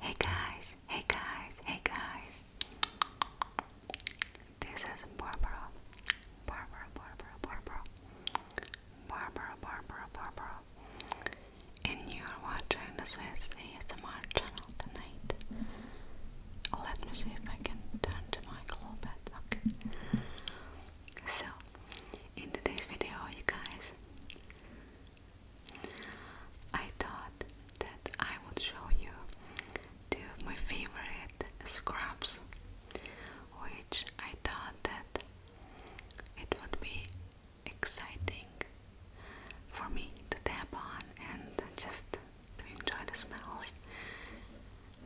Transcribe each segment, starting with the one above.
Hey guys, hey guys, hey guys. This is Barbara. Barbara, Barbara, Barbara. Barbara, Barbara, Barbara. And you are watching the Swiss ASMR channel tonight. Let me see if I can turn the mic a little Okay. So, in today's video, you guys. I thought that I would show you two of my favorite scrubs, which I thought that it would be exciting for me to tap on and just to enjoy the smell.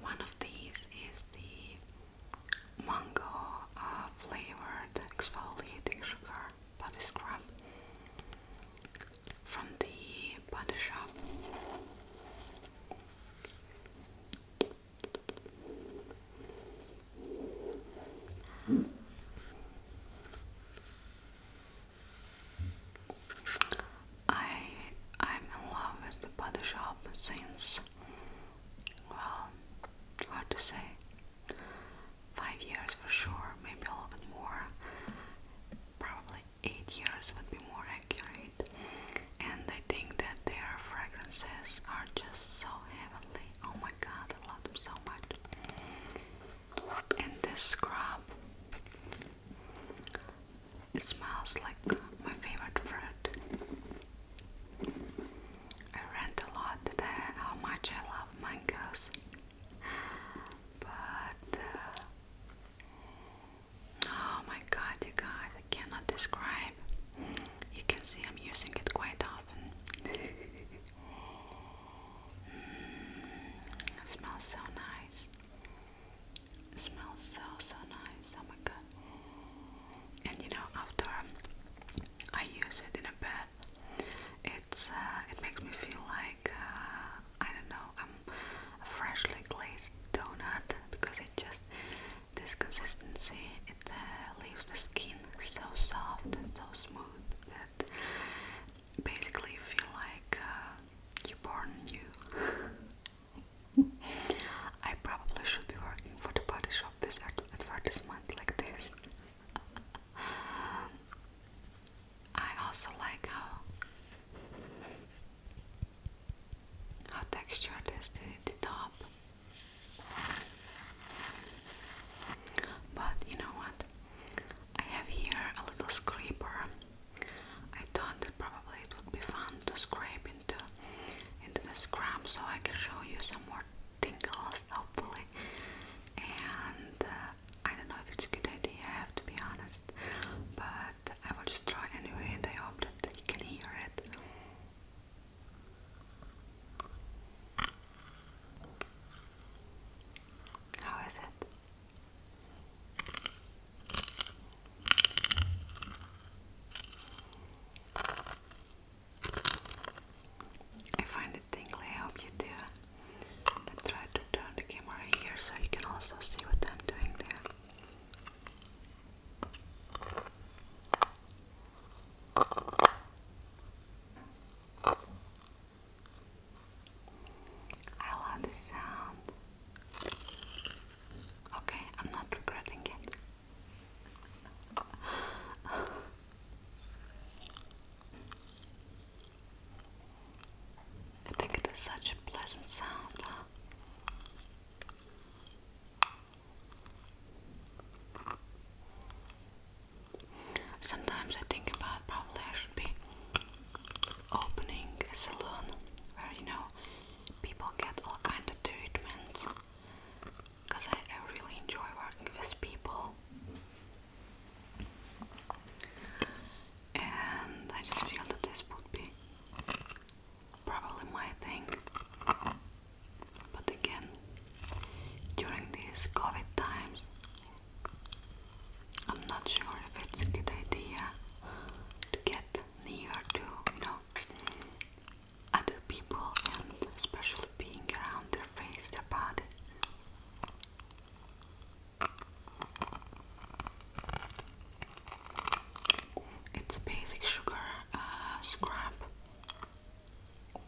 One of these is the mango uh, flavored exfoliating sugar body scrub from the body shop. I I'm in love with the body shop since well hard to say five years for sure, maybe a little bit more. Probably eight years would be more accurate. And I think that their fragrances are just so heavenly. Oh my god, I love them so much. And this scrub it smells like my favorite fruit. I rant a lot today how much I love mangoes, but uh, oh my god, you guys, cannot describe. You can see I'm using it quite often. Mm, smells so nice. It smells so so nice. Oh my god. And you know after um, I use it in a bath, it's uh, it makes me feel like uh, I don't know I'm a freshly glazed donut because it just this consistency it uh, leaves the skin so soft and so smooth that basically feel like uh, you're born new. I probably should be working for the body shop with advertisement like this. I also like how how textured is the, the top. But you know what? I have here a little scraper I thought that probably it would be fun to scrape into into the scrub so I can show you some more tingles hopefully and uh, I don't know if it's a good idea I have to be honest but I will just try anyway and I hope that you can hear it. How is it? I find it tingly, I hope you do. let try to turn the camera here so you can also see what I'm doing there. I love this sound. Okay, I'm not regretting it. I think it is such a pleasant sound. Sometimes I think about probably I should be opening a salon where you know people get all kind of treatments because I, I really enjoy working with people and I just feel that this would be probably my thing but again during these COVID times I'm not sure if it's a good idea to get near to, you know, other people and especially being around their face, their body. It's a basic sugar uh, scrub,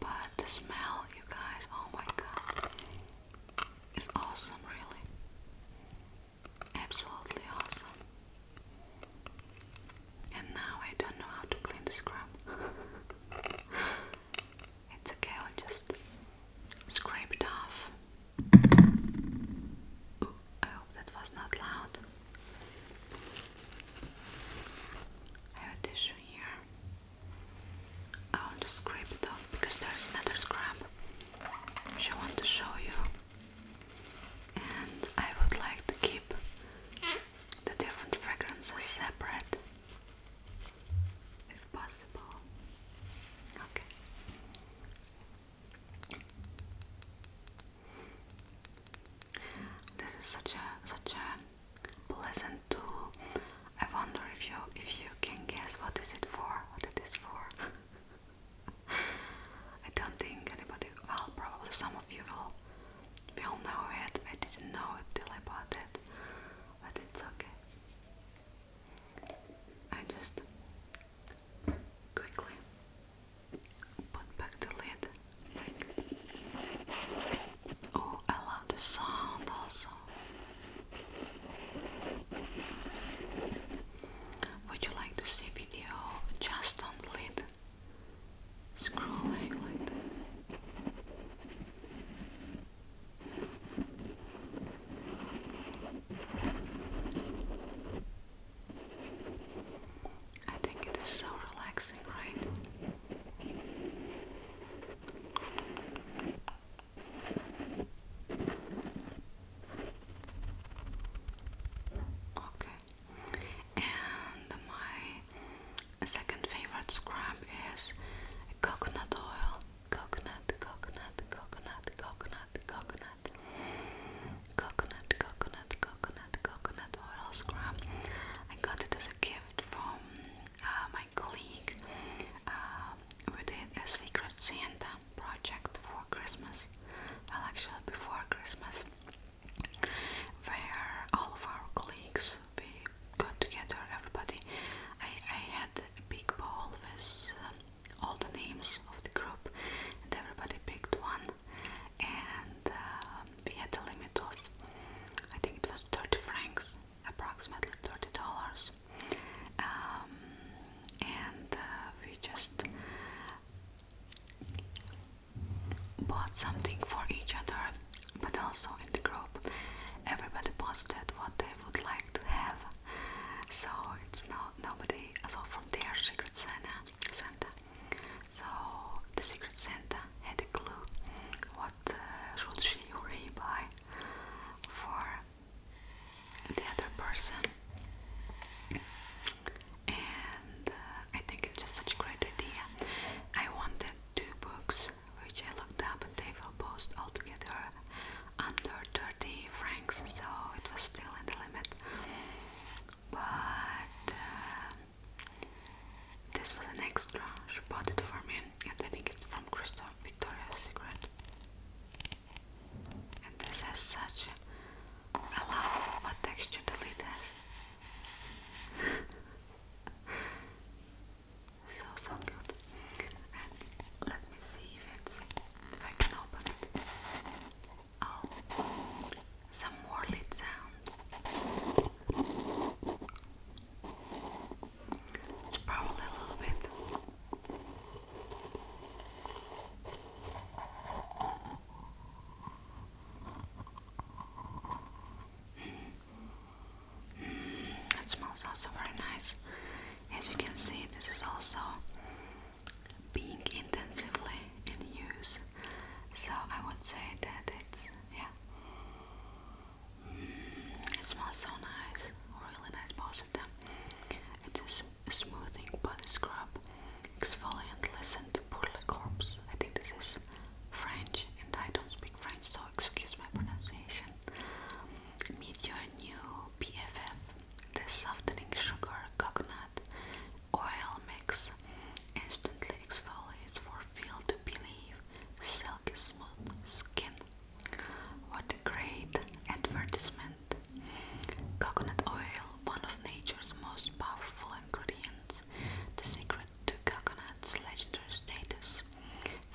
but the smell, you guys, oh my god. It's awesome, really. Absolutely awesome. And now I don't know how to clean the scrub. it's okay, i just scrape it off. I hope that was not loud. I have a tissue here. I want to scrape because there's another scrap which I want to show you, and I would like to keep the different fragrances separate if possible. Okay. This is such a such a pleasant tool. I wonder if you if you can guess what is it for? What it is for? I don't think anybody. Well, probably some of you will will know it. I didn't know it till I bought it, but it's okay. I just quickly put back the lid. Oh, I love the sound also. Would you like to see video just on lid scrolling like that? I think it is so relaxing, right? Okay, and my second favorite scrub is coconut oil. Coconut, coconut, coconut, coconut, coconut, coconut, coconut, coconut, coconut oil scrub. I got it as a gift from uh, my colleague. Uh, we did a Secret Santa project for Christmas, well, actually, before Christmas, where all of our colleagues we got together, everybody. I, I had a big bowl with uh, all the names of the group, and everybody picked one. And we had a limit of, I think it was 30 francs, approximately 30 dollars. Um, and uh, we just bought something for each other, but also in the group, everybody posted what they would like to have. So it's not nobody. So from their Secret Santa, Santa so the secret Santa had a clue what uh, should she or he buy for the other person. And uh, I think it's just such a great idea. I wanted two books which I looked up and they will post altogether under 30 francs, so it was still in the limit. But uh, this was an extra. She bought it for me, and I think it's from Crystal Victoria's Secret. And this has such a loud texture the lid has. so so good. And let me see if it's if I can open it. Oh, some more lid sound. It's probably a little bit. Mm. it smells also very nice. As you can see, this is also being intensively in use. So I would say that it's yeah. Mm, it smells so nice, really nice both of them. It is a smoothing body scrub, exfoliant, listen to pour le corps. I think this is French, and I don't speak French, so excuse my pronunciation. Meet your new BFF, the softening sugar coconut Oil mix instantly exfoliates for feel to believe silky smooth skin. What a great advertisement! Coconut oil, one of nature's most powerful ingredients, the secret to coconut's legendary status.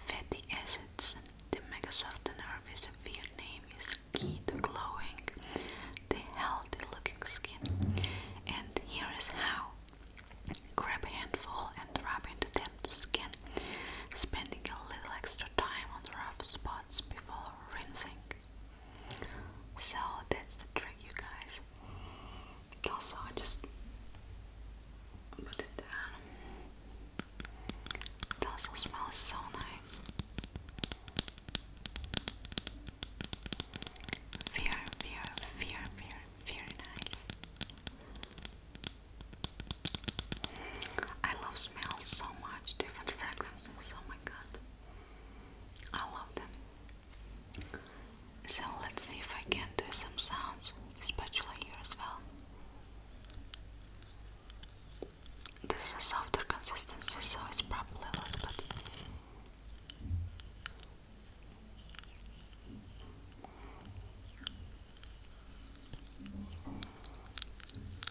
Fatty acids, the mega softener with a weird name is skin glowing, the healthy looking skin. And here is how grab a handful and rub into damp skin, spending a little extra time on rough spots before rinsing. So that's the trick, you guys. Also, I just put it down. It also smells so nice. Fear, fear, fear, fear, fear, nice. I love smells so much, different fragrances. Oh my god, I love them. So let's see if I can do some sounds, especially here as well. This is a softer consistency, so it's probably a little bit.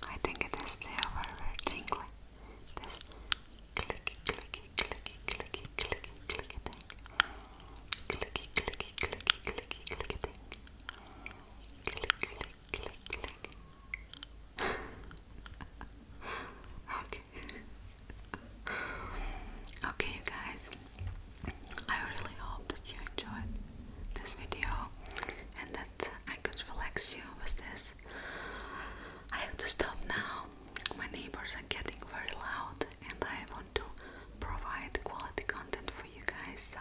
I think it is the very tingly. This clicky, clicky, clicky, clicky, clicky, clicky thing. Clicky, clicky, clicky, clicky, clicky thing. Click, okay. okay, guys. I really hope that you enjoyed this video and that I could relax you with this. I have to stop now. My neighbors are getting very loud, and I want to provide quality content for you guys. So